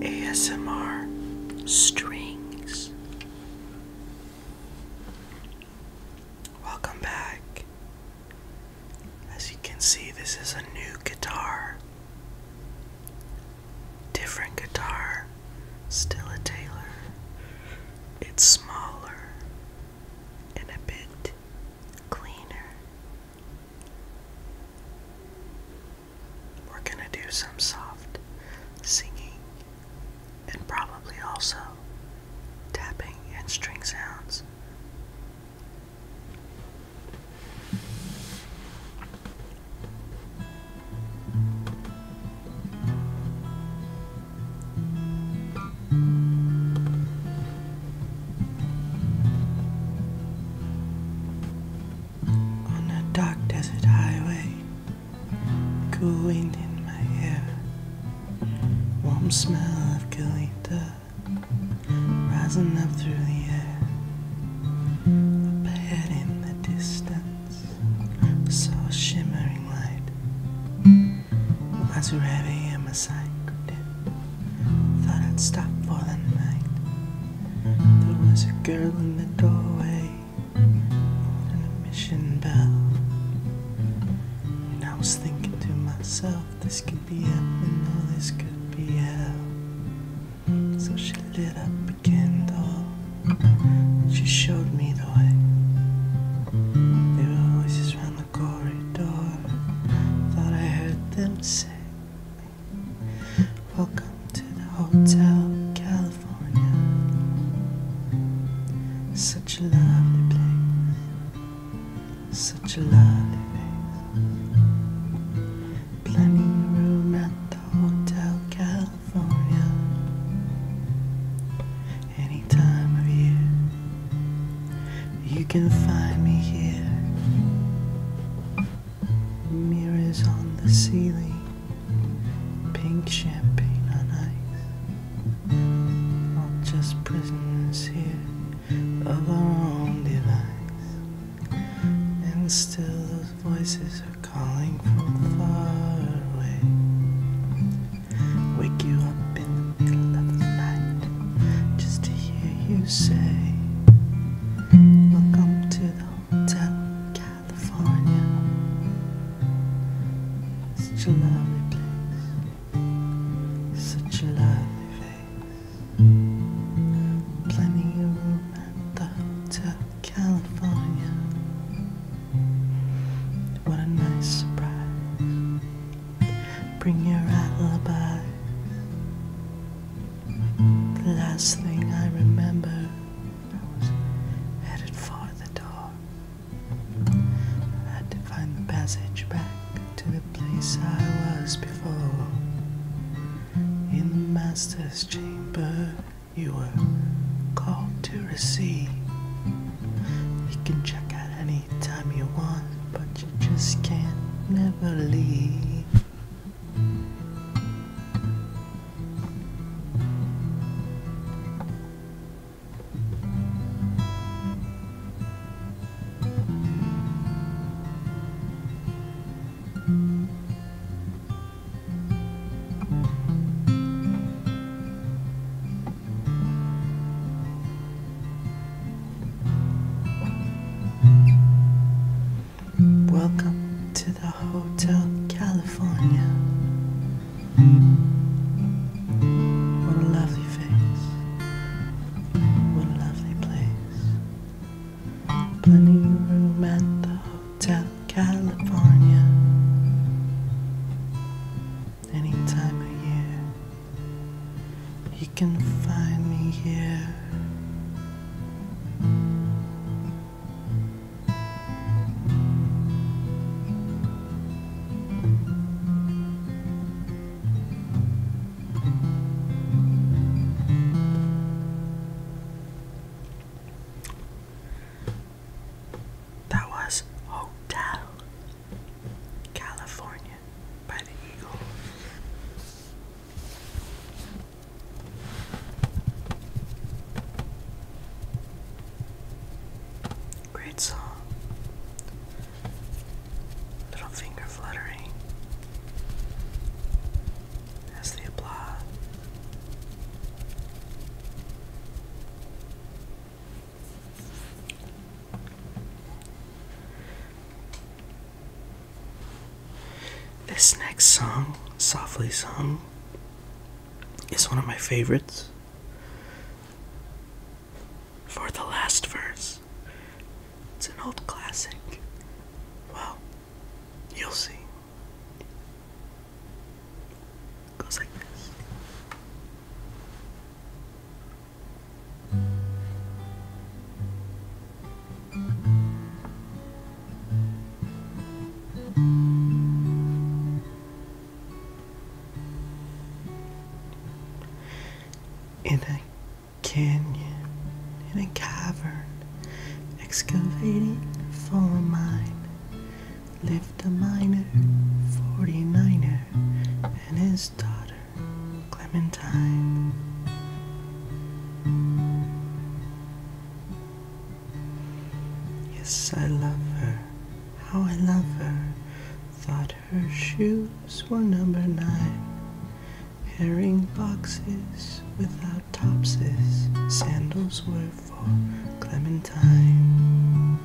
ASMR strings. Welcome back. As you can see, this is a new guitar. Different guitar, still a Taylor. It's smaller and a bit cleaner. We're gonna do some soft singing and probably also tapping and string sounds. On a dark desert highway, cool wind in my hair, warm smell of Galita rising up through the air. Up ahead in the distance, saw a shimmering light. Was you heavy and my side could thought I'd stop for the night. There was a girl in the doorway, and a mission bell. And I was thinking to myself, this could be heaven or this could be hell. So she lit up a candle, she showed me the way. There were voices round the corridor. Thought I heard them say, Welcome to the Hotel California. Such a lovely place, such a lovely place. Plenty of room at the Hotel California any time of year. You can find me here. Mirrors on the ceiling, pink champagne on ice. Not just prisoners here of our own device. And still those voices are calling from far away. Wake you up in the middle of the night just to hear you say, Welcome to the Hotel California. Such a lovely place, such a lovely face. Planning a room at the Hotel California. What a nice surprise. Bring your alibi. The last thing I remember, I was headed for the door. I had to find the passage back to the place I was before. In the master's chamber, you were called to receive. You can check out anytime you want, but you just can't never leave. Welcome to the Hotel California. What a lovely face. What a lovely place. Plenty of room at the Hotel California any time of year. You can find me here. That was Hotel California by the Eagles. Great song. Little finger fluttering as they applaud. This next song, Softly Sung, is one of my favorites. For the last verse, it's an old classic. Well, you'll see. It goes like this. In a canyon, in a cavern, excavating for a mine, lived a miner, 49er, and his daughter, Clementine. Yes, I love her, how I love her. Thought her shoes were number nine. Herring boxes without topses, sandals with. Clementine.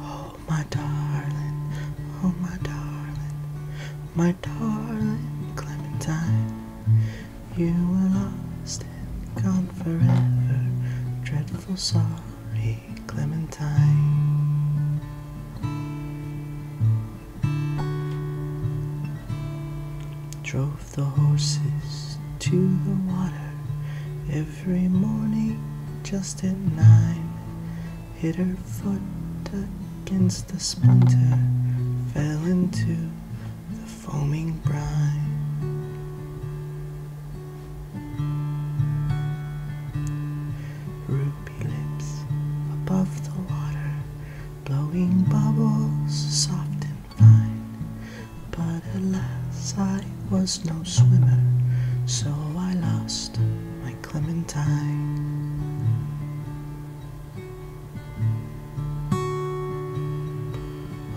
Oh, my darling, oh, my darling, my darling Clementine, you were lost and gone forever. Dreadful sorry, Clementine. drove the horses to the water every morning just at nine. Hit her foot against the splinter, fell into the foaming brine. Ruby lips above the water, blowing bubbles soft and fine. But alas, I was no swimmer, so I lost my clementine. Oh,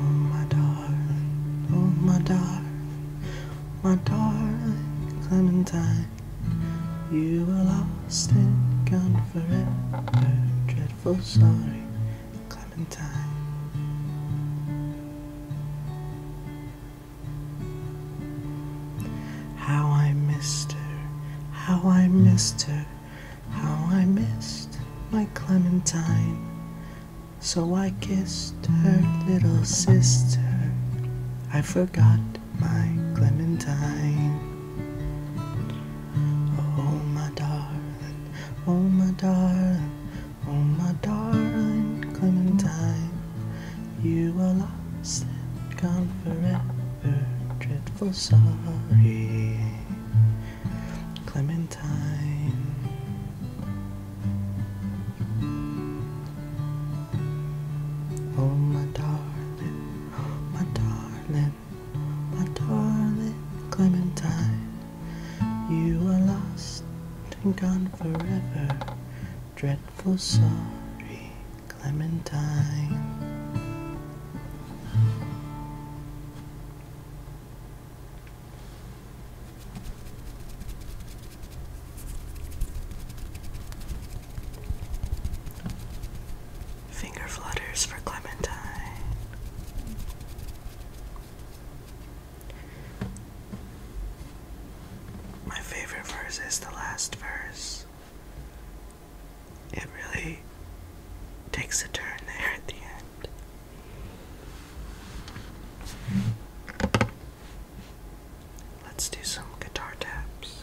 my darling, oh, my darling, my darling Clementine, you were lost and gone forever. So mm. sorry, Clementine. How I missed her, how I mm. missed her, how I missed my Clementine. So I kissed her little sister. I forgot my Clementine. Oh my darling, oh my darling, oh my darling Clementine, you are lost and gone forever, dreadful sorry, Clementine. Oh my darling, oh my darling my darling Clementine. You are lost and gone forever, dreadful sorry Clementine. Finger flutters for Clementine. My favorite verse is the last verse. It really takes a turn there at the end. Let's do some guitar taps.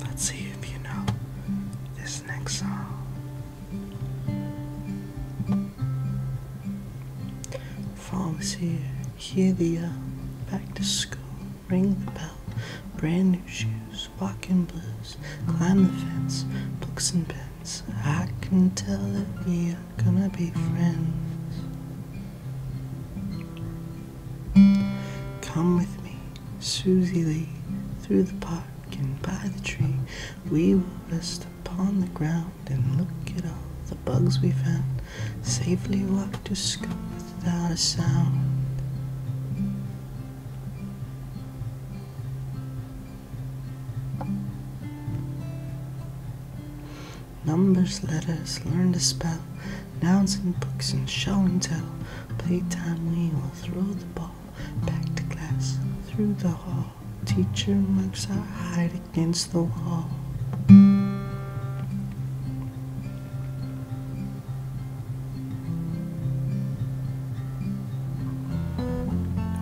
Let's see if you know this next song. Fall is here, hear the yell, uh, back to school, ring the bell, brand new shoes, walking blues, climb the fence, books and pens. I can tell it via not gonna be friends. Come with me, Susie Lee, through the park and by the tree. We will rest upon the ground and look at all the bugs we found. Safely walk to school without a sound. Numbers, letters, learn to spell, nouns and books and show and tell. Playtime, we will throw the ball back to class through the hall. Teacher marks our hide against the wall.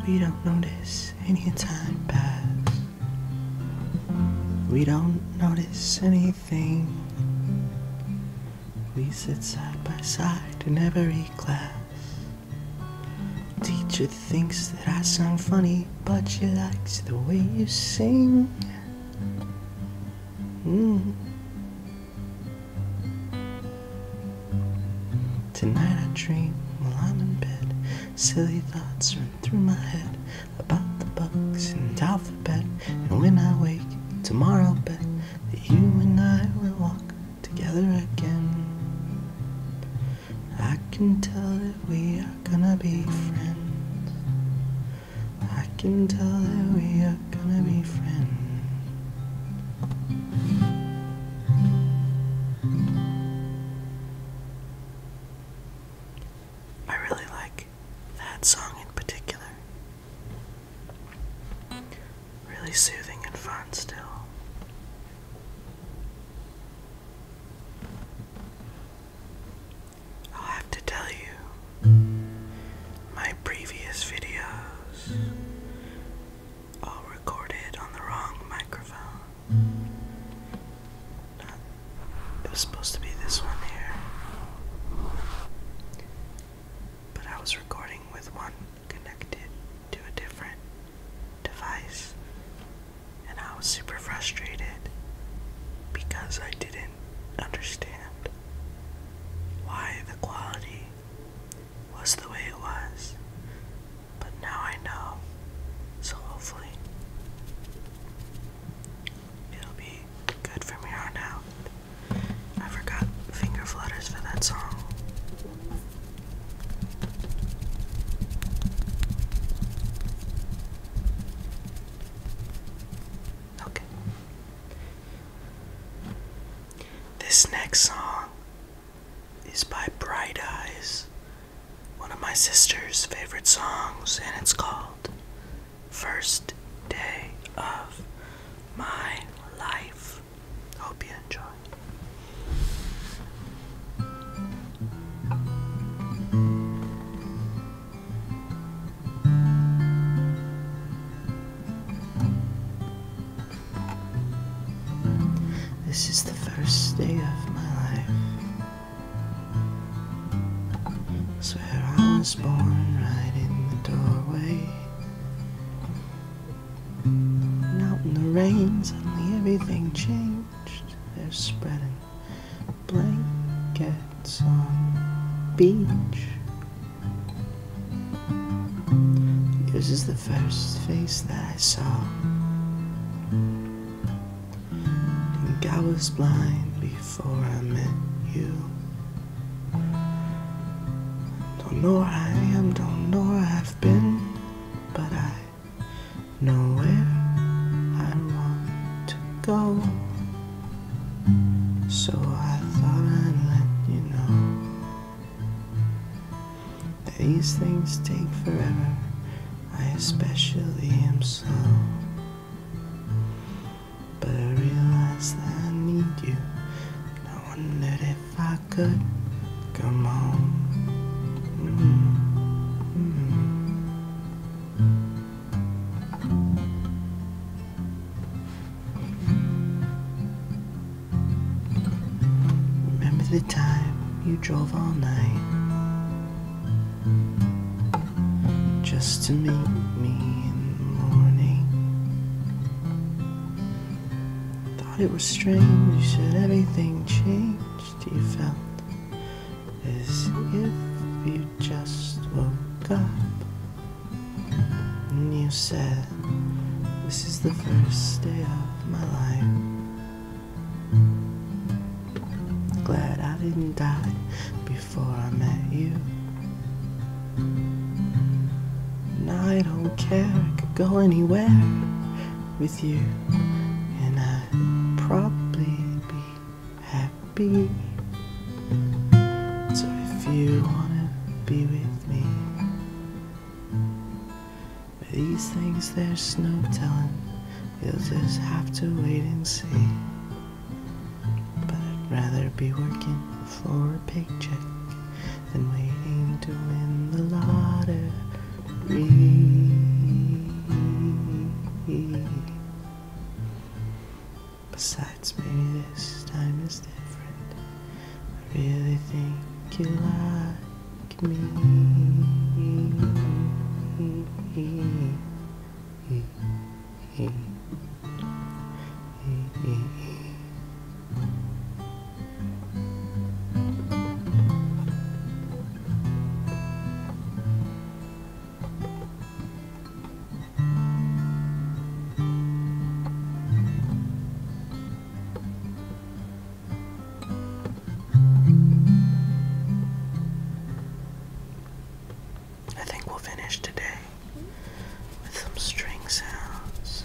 We don't notice any time pass. We don't notice anything. We sit side by side in every class. Teacher thinks that I sound funny, but she likes the way you sing. Mm. Tonight I dream while I'm in bed. Silly thoughts run through my head about the books and alphabet. And when I wake tomorrow, bet that you and I will walk together again. I can tell that we are gonna be friends. I can tell that we are gonna be friends. I really like that song in particular. Really soothing and fun still. I'll have to tell you, my previous videos all recorded on the wrong microphone. It was supposed to be this one here. But I was recording with one connected to a different device. And I was super frustrated because I didn't understand why the quality was the way it was. But now I know. So hopefully it'll be good from here on out. I forgot finger flutters for that song. Okay. This next song is by Bright Eyes one of my sister's favorite songs, and it's called First Day of My Life. Hope you enjoy. This is the first day of my life. I swear I was born right in the doorway. And out in the rain, suddenly everything changed. They're spreading blankets on the beach. This is the first face that I saw. Think I was blind before I met you. Don't know where I am, don't know where I've been, but I know where I want to go. So I thought I'd let you know. These things take forever. I especially am slow. But I realize that I need you. I wondered if I could come home. Mm-hmm. Remember the time you drove all night just to meet me in the morning. Thought it was strange, you said everything changed. You felt as if you just woke up and you said, This is the first day of my life. Glad I didn't die before I met you. And I don't care, I could go anywhere with you. And I'd probably be happy. So if you wanna be with me, these things, there's no telling. You'll just have to wait and see. But I'd rather be working for a paycheck than waiting to win the lottery. Besides, maybe this time is different. I really think you lied like me. I think we'll finish today with some string sounds.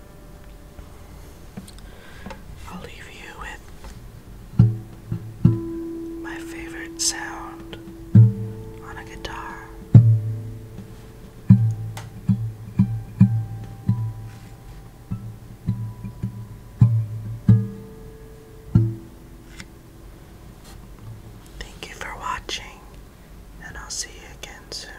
I'll leave you with my favorite sound on a guitar. Thank you for watching, and I'll see you again soon.